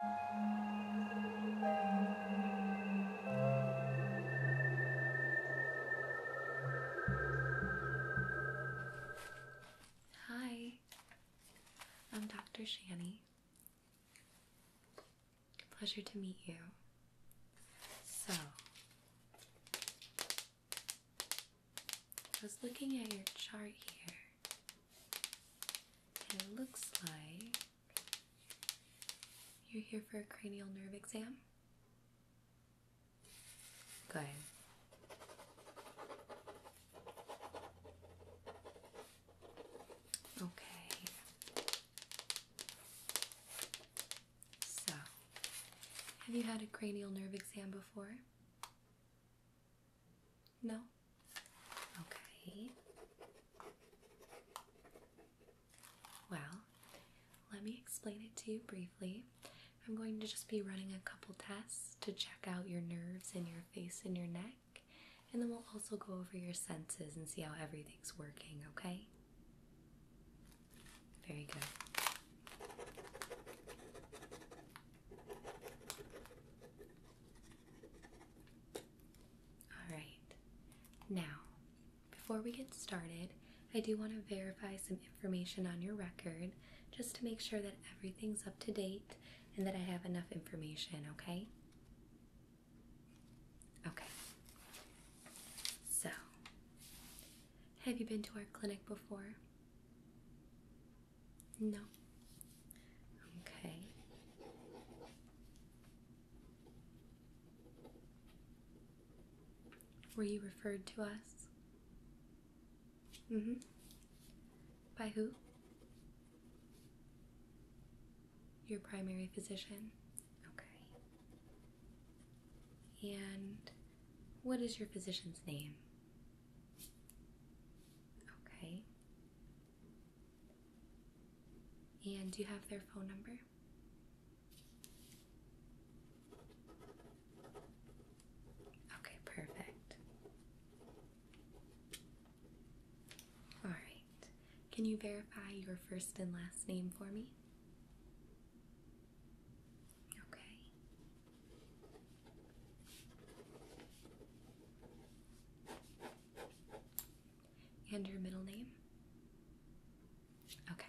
Hi, I'm Dr. Shani. Pleasure to meet you. So, I was looking at your chart here, it looks like you're here for a cranial nerve exam? Good. Okay. So, have you had a cranial nerve exam before? No? Okay. Well, let me explain it to you briefly. I'm going to just be running a couple tests to check out your nerves in your face and your neck, and then we'll also go over your senses and see how everything's working, okay? Very good. Alright, now before we get started, I do want to verify some information on your record just to make sure that everything's up to date and that I have enough information, okay? Okay. So, have you been to our clinic before? No? Okay. Were you referred to us? Mm-hmm. By who? Your primary physician? Okay. And what is your physician's name? Okay. And do you have their phone number? Okay, perfect. All right. Can you verify your first and last name for me? Okay. And your middle name? Okay.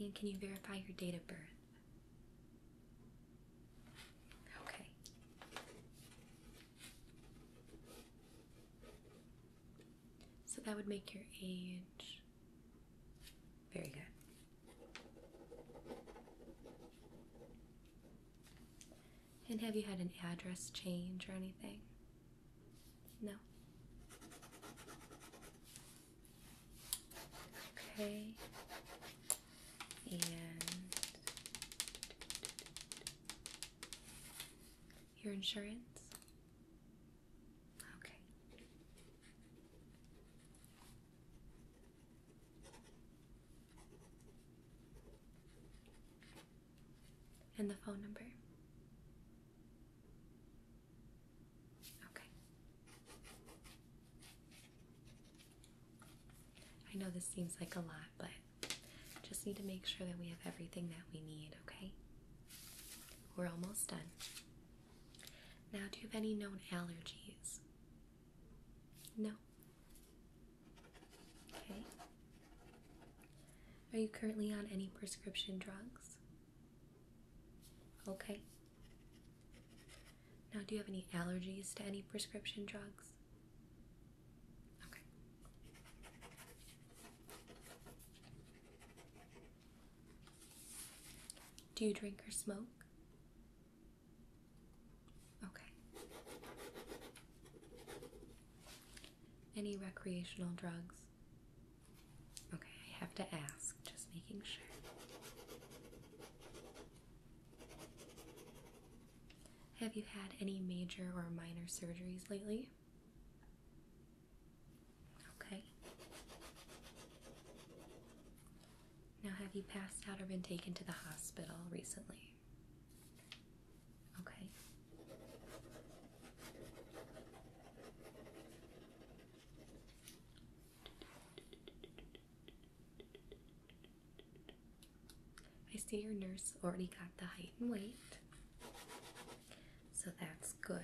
And can you verify your date of birth? Okay. So that would make your age very good. And have you had an address change or anything? No. Okay. And your insurance? Okay. And the phone number? Okay. I know this seems like a lot, but just need to make sure that we have everything that we need, okay? We're almost done. Now, do you have any known allergies? No. Okay. Are you currently on any prescription drugs? Okay. Now, do you have any allergies to any prescription drugs? Okay. Do you drink or smoke? Okay. Any recreational drugs? Okay, I have to ask, just making sure. Have you had any major or minor surgeries lately? Okay. Now, have you passed out or been taken to the hospital recently? Okay. I see your nurse already got the height and weight. So that's good.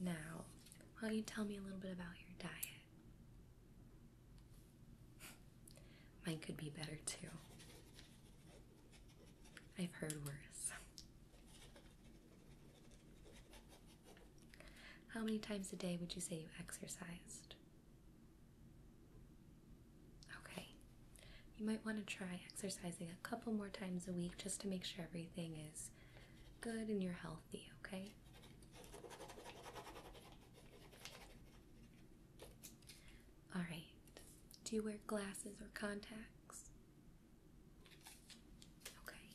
Now, why don't you tell me a little bit about your diet? Mine could be better too. I've heard worse. How many times a day would you say you exercised? Okay. You might want to try exercising a couple more times a week just to make sure everything is good in your health healthy, okay? Alright, do you wear glasses or contacts? Okay.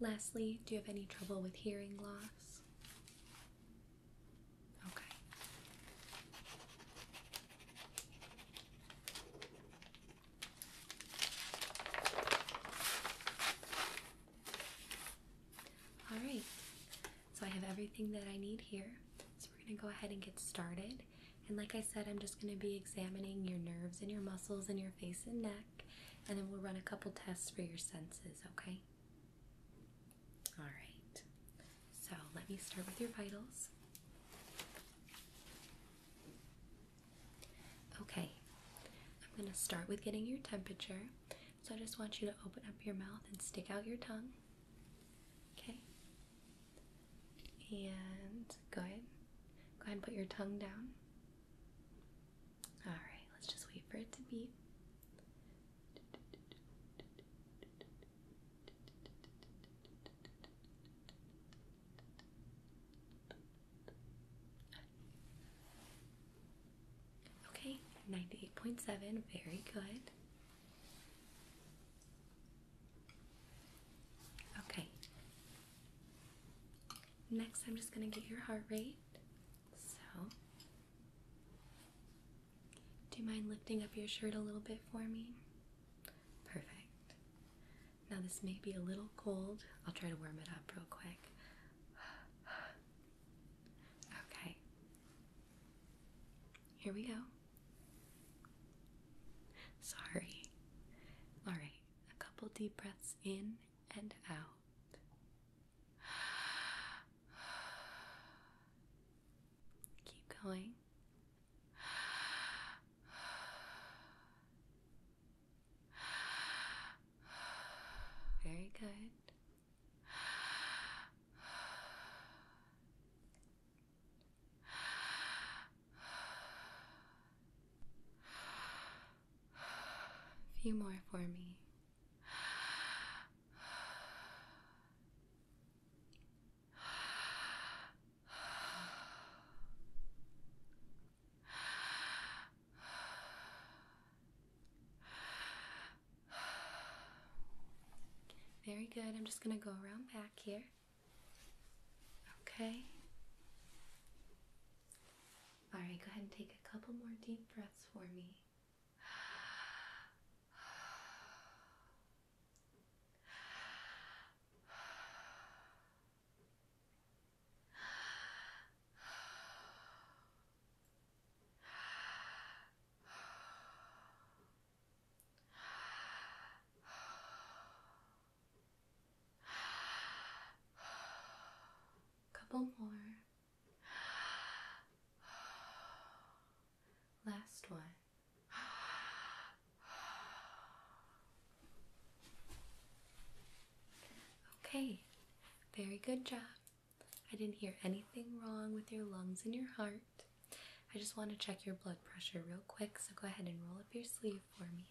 Lastly, do you have any trouble with hearing loss? Okay. All right, so I have everything that I need here. So we're going to go ahead and get started. And like I said, I'm just going to be examining your nerves and your muscles and your face and neck. And then we'll run a couple tests for your senses, okay? All right. So let me start with your vitals. Okay, I'm going to start with getting your temperature. So I just want you to open up your mouth and stick out your tongue. Okay. And go ahead. Go ahead and put your tongue down. Alright, let's just wait for it to beat. Okay, 98.7, very good. Okay. Next, I'm just going to get your heart rate. So, do you mind lifting up your shirt a little bit for me? Perfect. Now, this may be a little cold. I'll try to warm it up real quick. Okay. Here we go. Sorry. All right. A couple deep breaths in and out. Keep going. Very good. few more for me. Very good. I'm just going to go around back here. Okay. All right, go ahead and take a couple more deep breaths for me. Couple more. Last one. Okay, very good job. I didn't hear anything wrong with your lungs and your heart. I just want to check your blood pressure real quick, so go ahead and roll up your sleeve for me.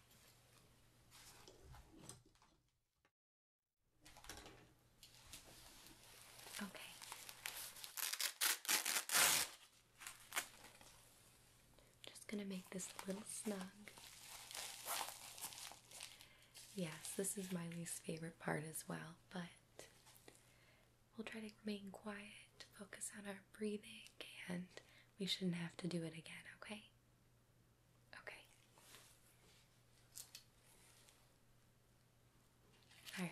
Okay. Just gonna make this a little snug. Yes, this is my least favorite part as well, but we'll try to remain quiet, focus on our breathing, and we shouldn't have to do it again, okay? Okay. Alright.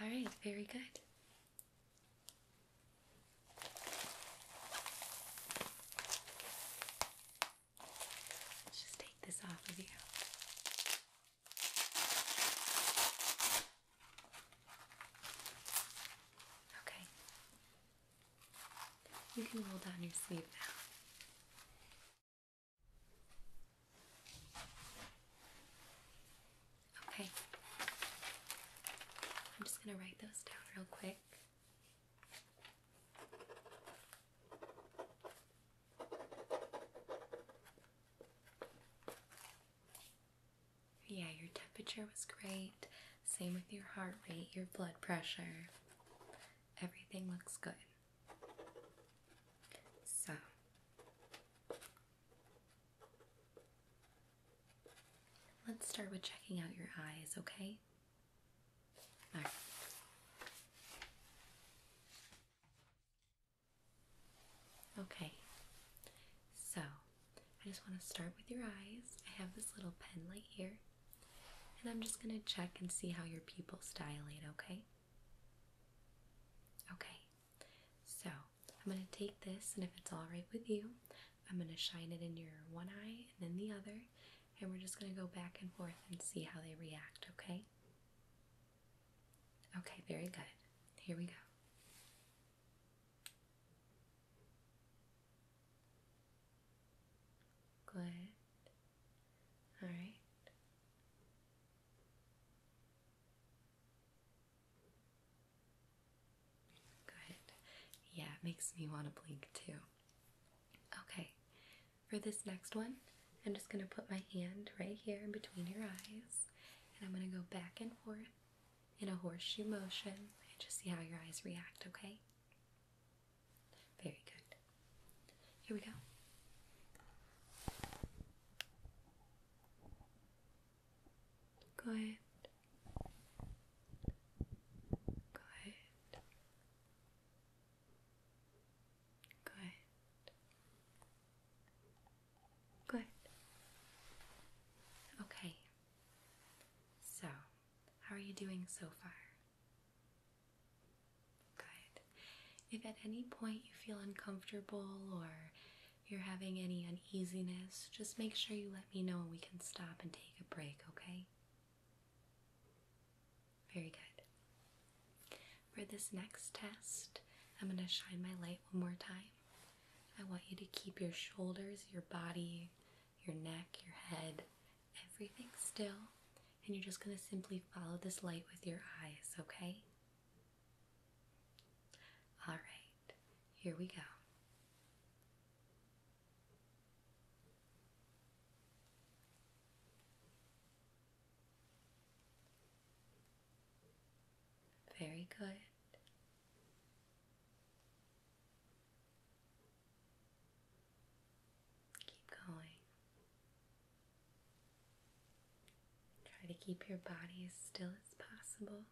All right, very good. Let's just take this off of you. Okay. You can roll down your sleeve now. Okay. I'm just going to write those down real quick. Yeah, your temperature was great. Same with your heart rate, your blood pressure. Everything looks good. So let's start with checking out your eyes, okay? Okay, so I just want to start with your eyes. I have this little pen light here. And I'm just going to check and see how your pupils dilate, okay? Okay, so I'm going to take this, and if it's all right with you, I'm going to shine it in your one eye and then the other, and we're just going to go back and forth and see how they react, okay? Okay, very good. Here we go. Good. All right. Good. Yeah, it makes me want to blink too. Okay, for this next one, I'm just going to put my hand right here in between your eyes and I'm going to go back and forth in a horseshoe motion and just see how your eyes react, okay? Very good. Here we go. Go ahead. Go ahead. Go ahead. Go ahead. Okay. So, how are you doing so far? Good. If at any point you feel uncomfortable or you're having any uneasiness, just make sure you let me know and we can stop and take a break, okay? Very good. For this next test, I'm going to shine my light one more time. I want you to keep your shoulders, your body, your neck, your head everything still, and you're just going to simply follow this light with your eyes, okay? All right, here we go. Very good. Keep going. Try to keep your body as still as possible.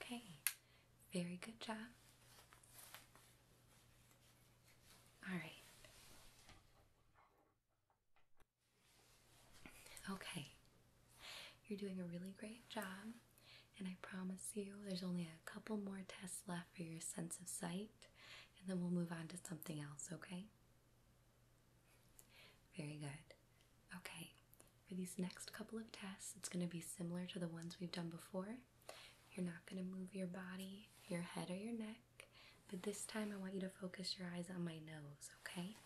Okay, very good job. All right. Okay, you're doing a really great job, and I promise you there's only a couple more tests left for your sense of sight, and then we'll move on to something else, okay? Very good. Okay, for these next couple of tests, it's going to be similar to the ones we've done before. You're not going to move your body, your head, or your neck, but this time I want you to focus your eyes on my nose, okay?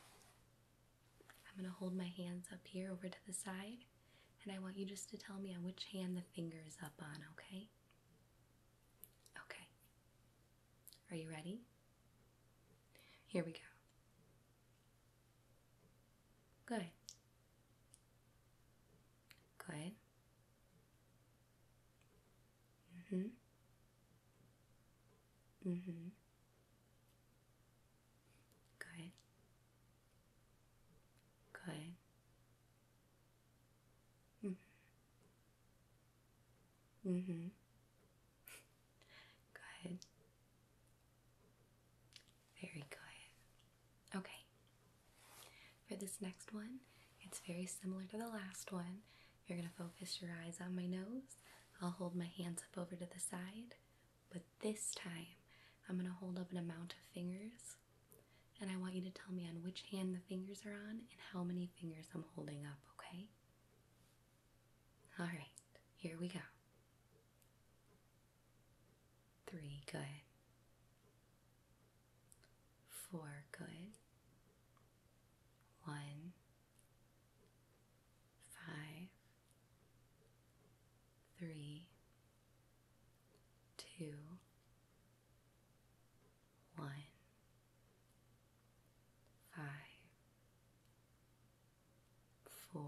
I'm going to hold my hands up here over to the side, and I want you just to tell me on which hand the finger is up on, okay? Okay. Are you ready? Here we go. Good. Good. Mm-hmm. Mm-hmm. Good. Good. Mm-hmm. mm mm-hmm. Good. Very good. Okay. For this next one, it's very similar to the last one. You're going to focus your eyes on my nose. I'll hold my hands up over to the side, but this time I'm going to hold up an amount of fingers and I want you to tell me on which hand the fingers are on and how many fingers I'm holding up, okay? All right, here we go. Three, good. Four, good. One, five, three, two, one, five, four,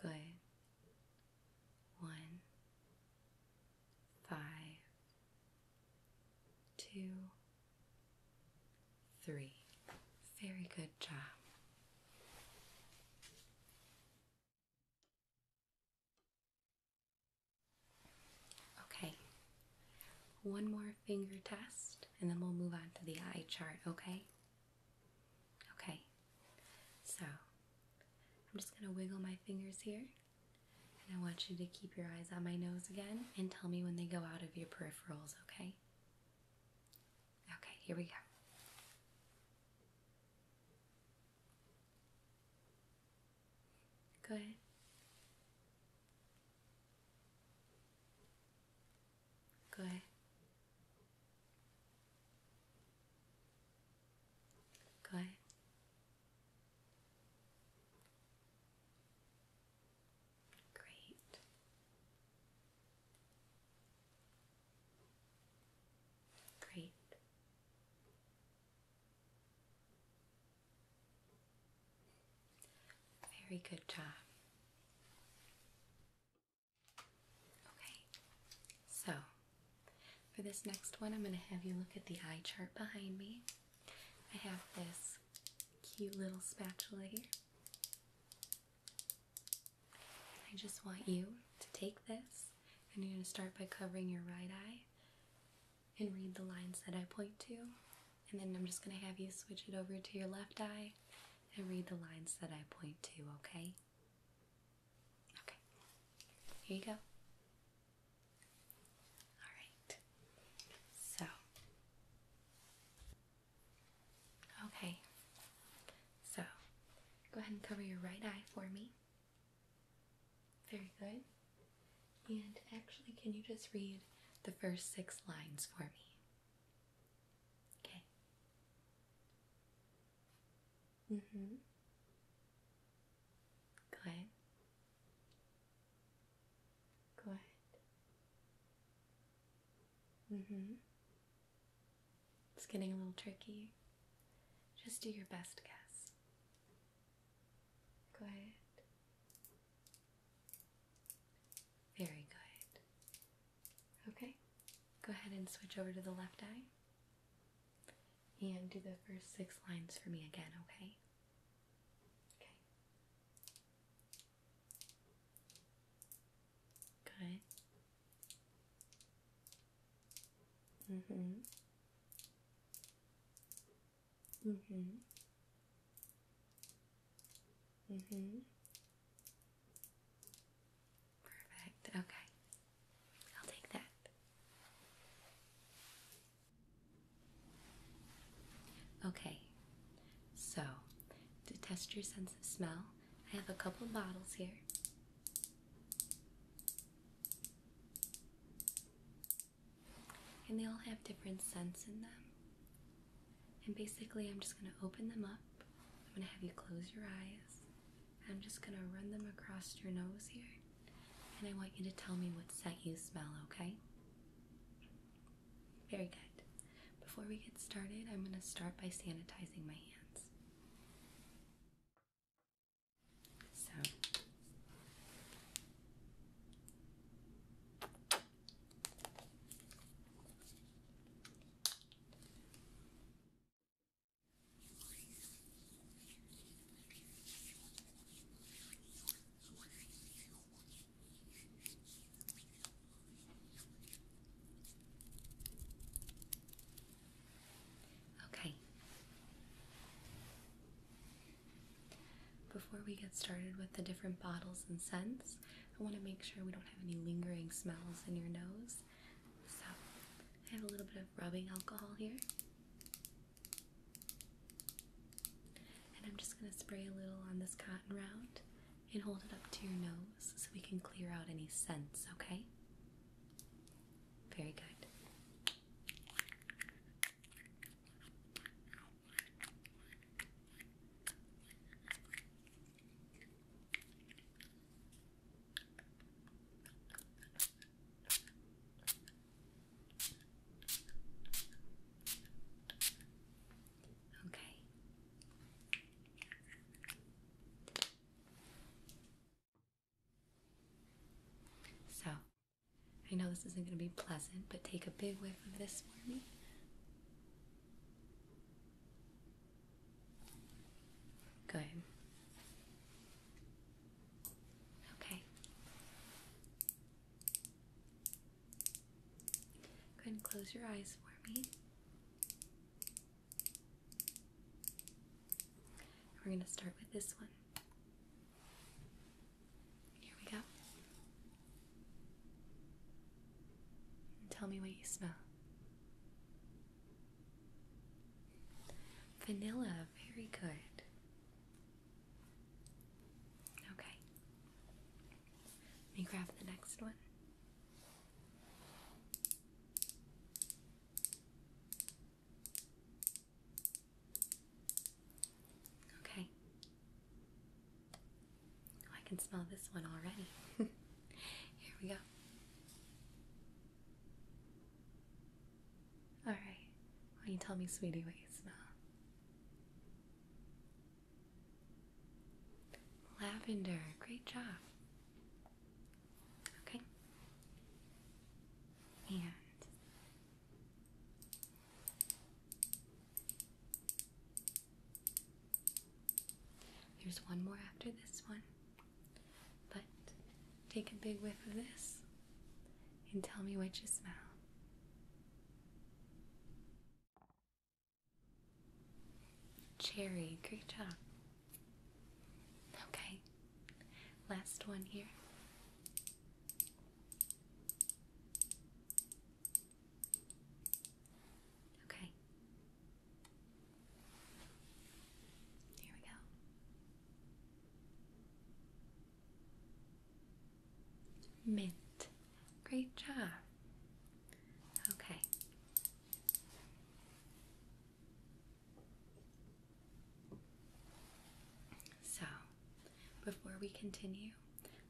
Good. One, five, two, three. Very good job. Okay, one more finger test and then we'll move on to the eye chart, okay? Okay, so I'm just gonna wiggle my fingers here, and I want you to keep your eyes on my nose again and tell me when they go out of your peripherals, okay? Okay, here we go. Good. Good. Great. Great. Very good job. Okay, so for this next one, I'm going to have you look at the eye chart behind me. I have this cute little spatula here. I just want you to take this and you're going to start by covering your right eye and read the lines that I point to. And then I'm just going to have you switch it over to your left eye and read the lines that I point to, okay? Okay, here you go. All right, so okay, so go ahead and cover your right eye for me. Very good. And actually, can you just read the first six lines for me? Okay. Mm-hmm. Good. Good. Mm-hmm. It's getting a little tricky. Just do your best guess. Good. Very good. Okay, go ahead and switch over to the left eye. And do the first six lines for me again, okay? Okay. Good. Mm-hmm. Mm-hmm. Mm-hmm. Perfect. Okay. I'll take that. Okay, so to test your sense of smell, I have a couple bottles here. And they all have different scents in them. And basically, I'm just going to open them up. I'm going to have you close your eyes. I'm just gonna run them across your nose here, and I want you to tell me what scent you smell, okay? Very good. Before we get started, I'm gonna start by sanitizing my hands. So, Okay. Before we get started with the different bottles and scents, I want to make sure we don't have any lingering smells in your nose. So I have a little bit of rubbing alcohol here. And I'm just going to spray a little on this cotton round and hold it up to your nose so we can clear out any scents, okay? Very good. Okay. So, I know this isn't going to be pleasant, but take a big whiff of this for me. Good. Okay. Go ahead and close your eyes for me. We're going to start with this one. Here we go. And tell me what you smell. Vanilla, very good. Okay. Let me grab the next one. Okay. Oh, I can smell this one already. Here we go. All right. Why don't you tell me, sweetie, what you smell? Lavender. Great job. Okay. And there's one more after this one. But take a big whiff of this and tell me what you smell. Cherry, great job. Okay, last one here. Okay, here we go. Mint. Great job. Okay. So, before we continue,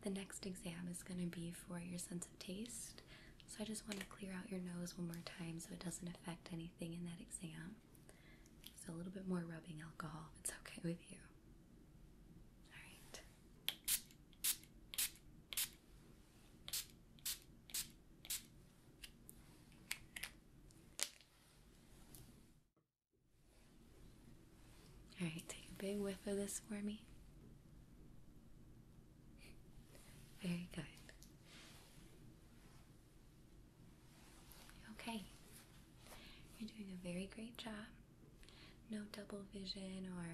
the next exam is going to be for your sense of taste. So I just want to clear out your nose one more time so it doesn't affect anything in that exam. So a little bit more rubbing alcohol, if it's okay with you. Alright. Alright, take a big whiff of this for me. Very good. Okay, you're doing a very great job. No double vision or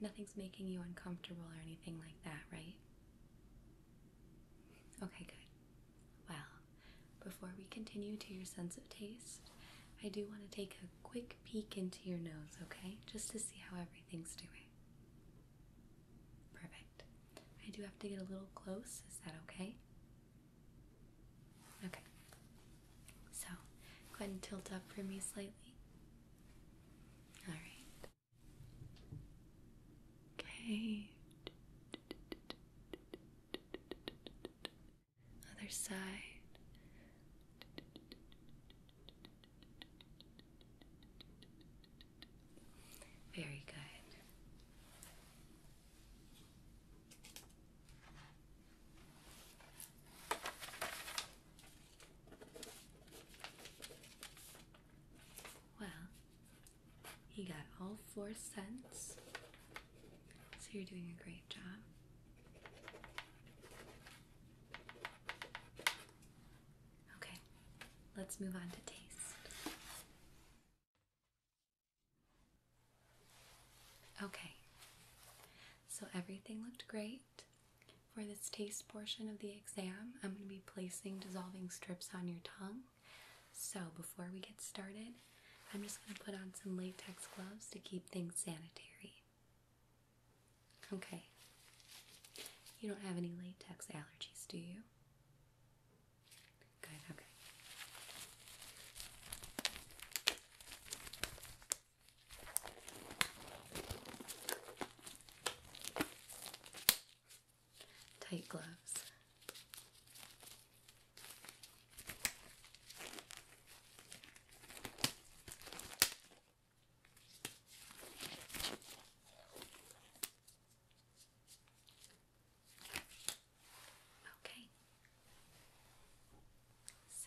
nothing's making you uncomfortable or anything like that, right? Okay, good. Well, before we continue to your sense of taste, I do want to take a quick peek into your nose, okay? Just to see how everything's doing. Perfect. I do have to get a little close. Is that okay? Okay. So, go ahead and tilt up for me slightly. All right. Okay. Other side. Very good. Well, you got all four cents, so you're doing a great job. Okay, let's move on to taste. Okay, so everything looked great. For this taste portion of the exam, I'm going to be placing dissolving strips on your tongue. So before we get started, I'm just going to put on some latex gloves to keep things sanitary. Okay. You don't have any latex allergies, do you? Tight gloves. Okay.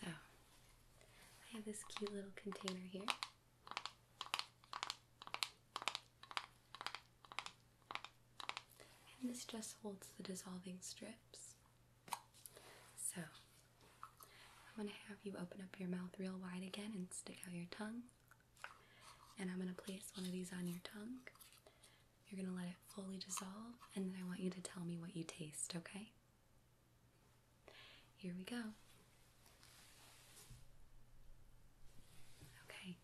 So, I have this cute little container here. this just holds the dissolving strips. So, I'm going to have you open up your mouth real wide again and stick out your tongue. And I'm going to place one of these on your tongue. You're going to let it fully dissolve, and then I want you to tell me what you taste, okay? Here we go. Okay.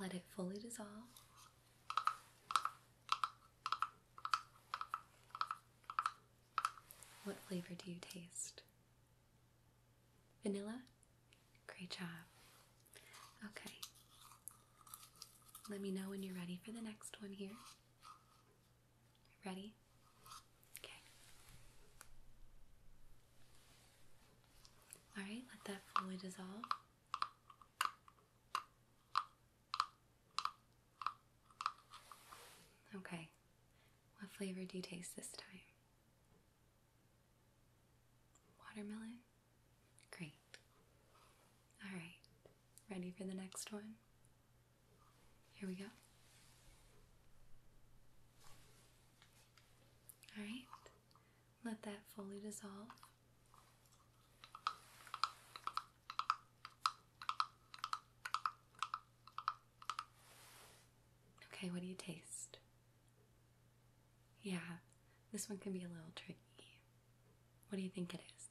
Let it fully dissolve. What flavor do you taste? Vanilla? Great job. Okay. Let me know when you're ready for the next one here. Ready? Okay. Alright, let that fully dissolve. Okay, what flavor do you taste this time? Watermelon? Great. Alright, ready for the next one? Here we go. Alright, let that fully dissolve. Okay, what do you taste? Yeah, this one can be a little tricky. What do you think it is?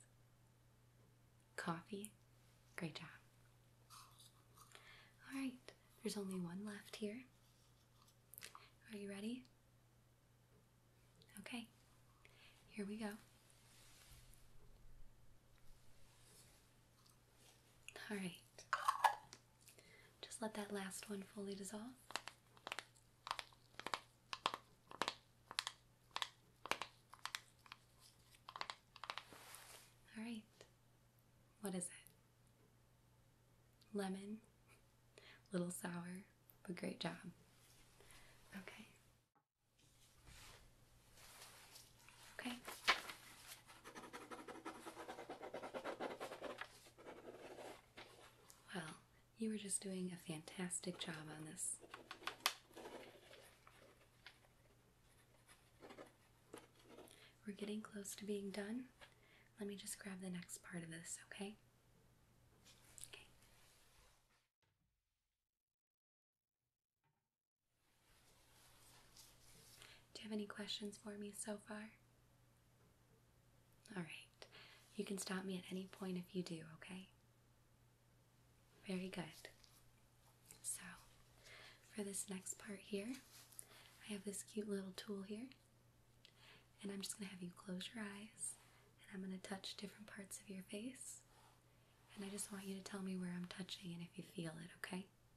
Coffee? Great job. Alright, there's only one left here. Are you ready? Okay, here we go. Alright, just let that last one fully dissolve. All right. What is it? Lemon. Little sour, but great job. Okay. Okay. Well, you were just doing a fantastic job on this. We're getting close to being done. Let me just grab the next part of this, okay? Okay. Do you have any questions for me so far? Alright, you can stop me at any point if you do, okay? Very good. So, for this next part here, I have this cute little tool here, and I'm just going to have you close your eyes, and I'm going to touch different parts of your face, and I just want you to tell me where I'm touching and if you feel it, okay?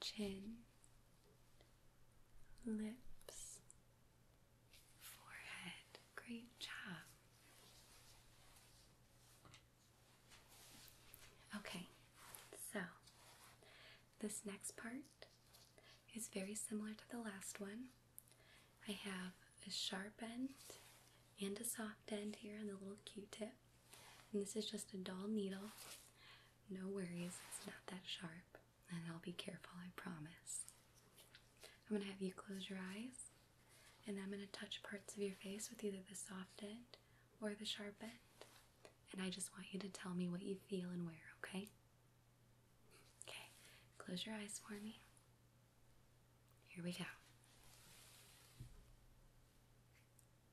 chin, lips, forehead. Great job. Okay, so this next part is very similar to the last one. I have a sharp end and a soft end here and a little q tip. And this is just a dull needle. No worries, it's not that sharp. And I'll be careful, I promise. I'm going to have you close your eyes. And I'm going to touch parts of your face with either the soft end or the sharp end. And I just want you to tell me what you feel and where, okay? Okay, close your eyes for me. Here we go.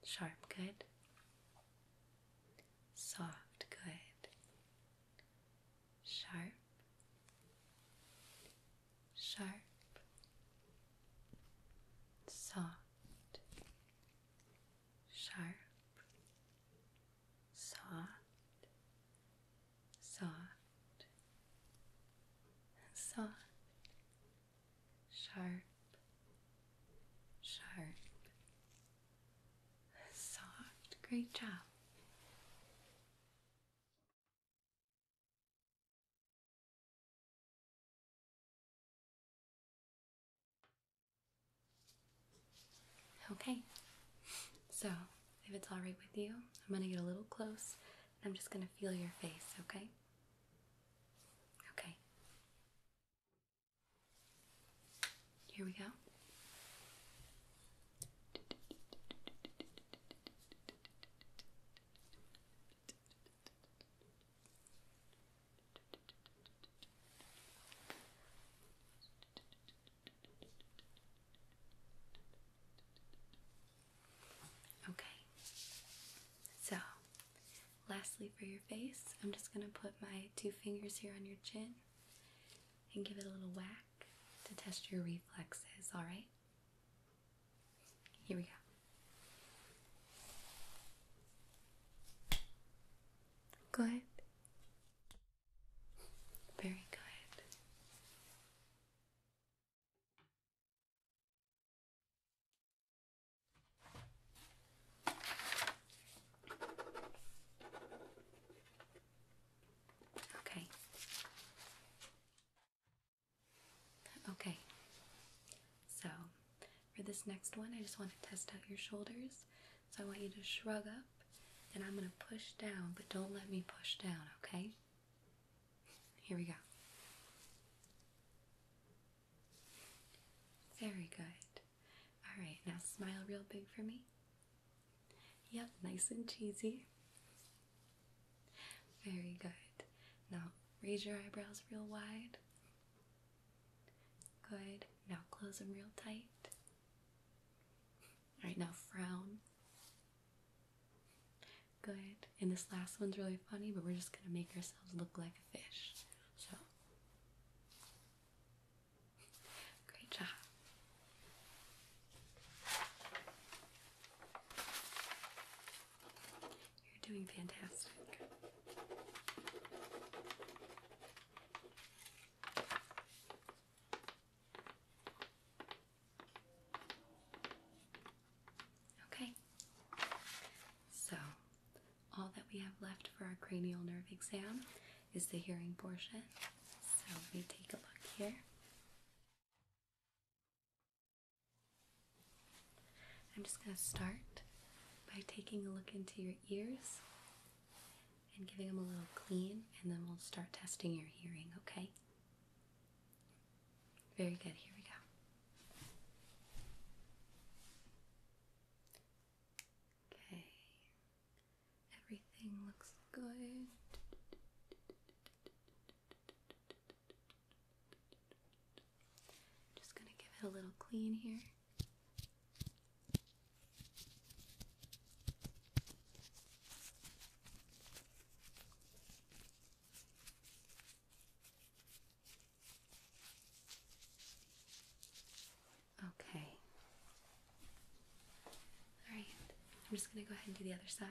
Sharp, good. Soft, good. Sharp. Sharp. Soft. Sharp. Soft. Soft. Soft sharp, sharp, soft. Great job. Okay, so if it's all right with you, I'm gonna get a little close I'm just gonna feel your face, okay? Okay. Here we go. Okay, so Lastly, for your face, I'm just going to put my two fingers here on your chin and give it a little whack to test your reflexes, alright? Here we go. Good. Very good. Okay. Okay. So, for this next one, I just want to test out your shoulders. So, I want you to shrug up, and I'm going to push down, but don't let me push down, okay? Here we go. Very good. All right, now smile real big for me. Yep, nice and cheesy. Very good. Now raise your eyebrows real wide. Good. Now close them real tight. All right, now frown. Good. And this last one's really funny, but we're just going to make ourselves look like a fish. So Great job. You're doing fantastic. Okay. So, all that we have left for our cranial nerve exam is the hearing portion. So let me take a look here. I'm just going to start by taking a look into your ears and giving them a little clean, and then we'll start testing your hearing, okay? Very good, here we go. Okay. Everything looks good. Just going to give it a little clean here. Okay. All right. I'm just going to go ahead and do the other side.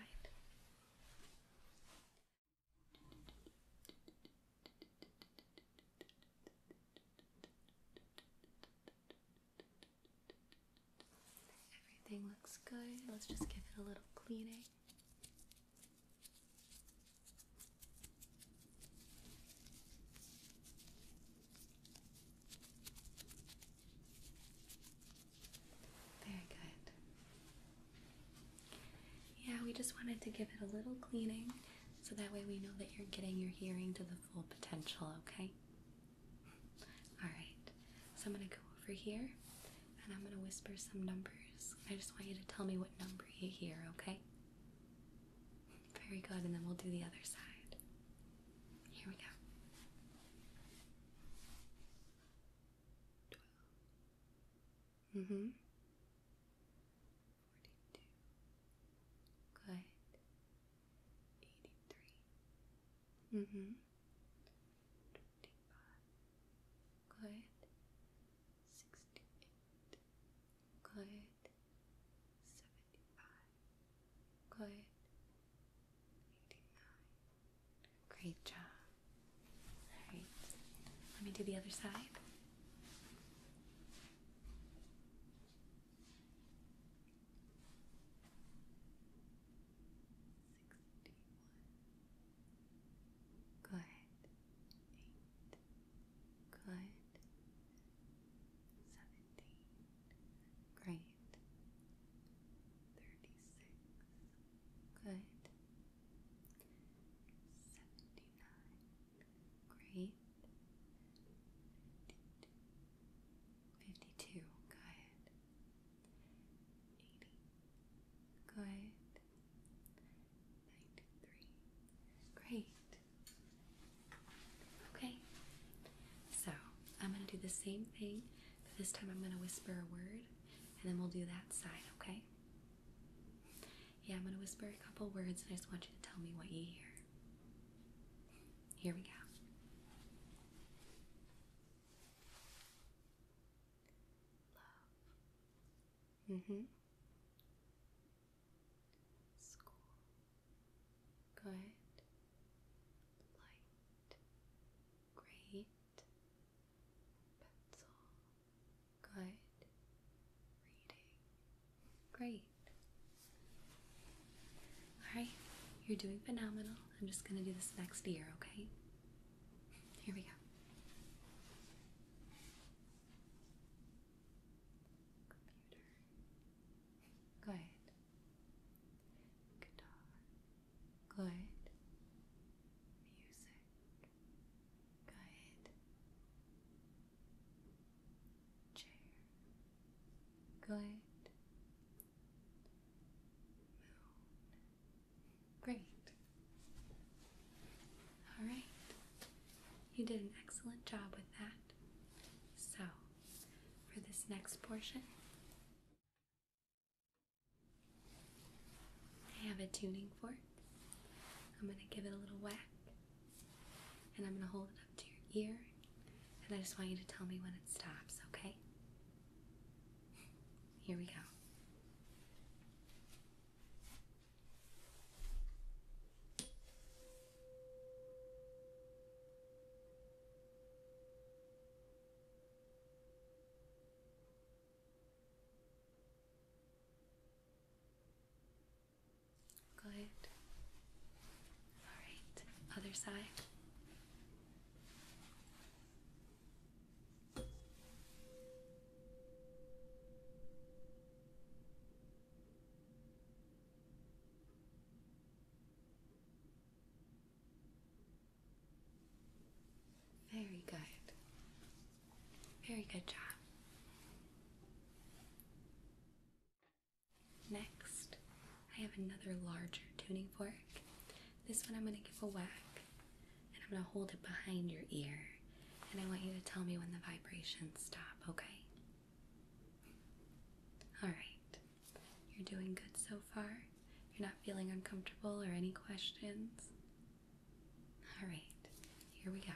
Everything looks good. Let's just give it a little cleaning. Very good. Yeah, we just wanted to give it a little cleaning so that way we know that you're getting your hearing to the full potential, okay? Alright, so I'm going to go over here and I'm going to whisper some numbers. I just want you to tell me what number you hear, okay? Very good, and then we'll do the other side. Here we go. 12. Mm-hmm. 42. Good. 83. Mm-hmm. 25. Good. 68. Good. 75. Good. 89. Great job. All right. Let me do the other side. Sixty-one. Good. Eight. Good. Seventeen. Great. Thirty-six. Good. Seventy-nine. Great. Fifty-two. Good. Eighty. Good ninety-three. Great. Okay. So I'm gonna do the same thing, but this time I'm gonna whisper a word, and then we'll do that side. Okay. Yeah, I'm gonna whisper a couple words, and I just want you to tell me what you hear. Here we go. Love, Mm-hmm. School. Good. Light. Great. Pencil. Good. Reading. Great. Alright, you're doing phenomenal. I'm just gonna do this next year, okay? Here we go. Computer. Good. Guitar. Good. Music. Good. Chair. Good. Moon. Great. All right. You did an excellent job with that. So, for this next portion, I have a tuning fork. I'm going to give it a little whack and I'm going to hold it up to your ear and I just want you to tell me when it stops, okay? Here we go. Good. All right, other side. Very good. Very good job. Next, I have another larger tuning fork. This one I'm going to give a whack and I'm going to hold it behind your ear. And I want you to tell me when the vibrations stop, okay? All right. You're doing good so far. You're not feeling uncomfortable or any questions. All right. Here we go.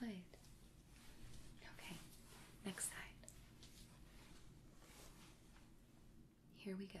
Good. Okay, next side. Here we go.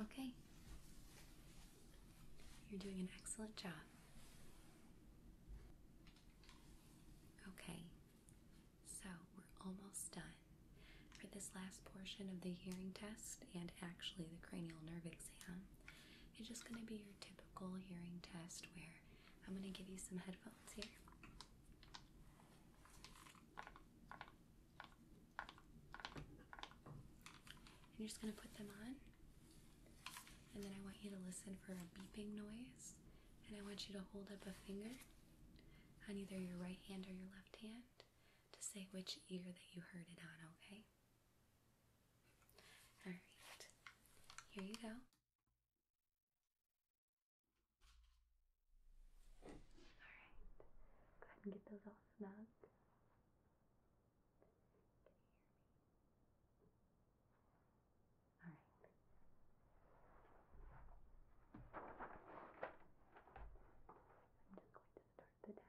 Okay. You're doing an excellent job. Okay, so we're almost done. For this last portion of the hearing test and actually the cranial nerve exam, it's just going to be your typical hearing test where I'm going to give you some headphones here you're just going to put them on. And then I want you to listen for a beeping noise. And I want you to hold up a finger on either your right hand or your left hand to say which ear that you heard it on, okay? Alright, here you go. Alright, go ahead and get those all snug. Can you hear me? Alright. I'm just going to start the test.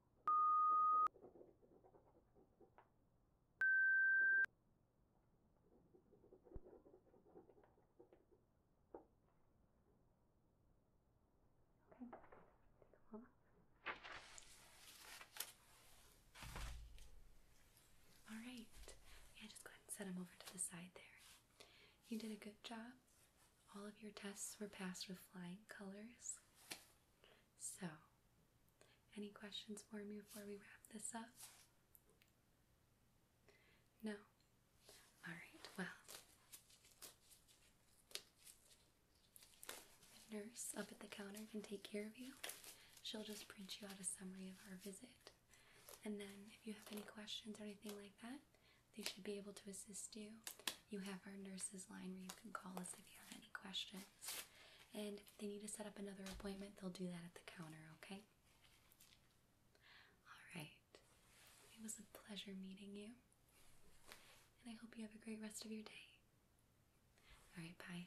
Okay, All right. Yeah, just go ahead and set them over to the side there. You did a good job. All of your tests were passed with flying colors. So, any questions for me before we wrap this up? No? Alright, well, nurse up at the counter can take care of you. She'll just print you out a summary of our visit. And then, if you have any questions or anything like that, they should be able to assist you. You have our nurses line where you can call us if you have any questions and if they need to set up another appointment, they'll do that at the counter, okay? All right. It was a pleasure meeting you, and I hope you have a great rest of your day. All right, bye.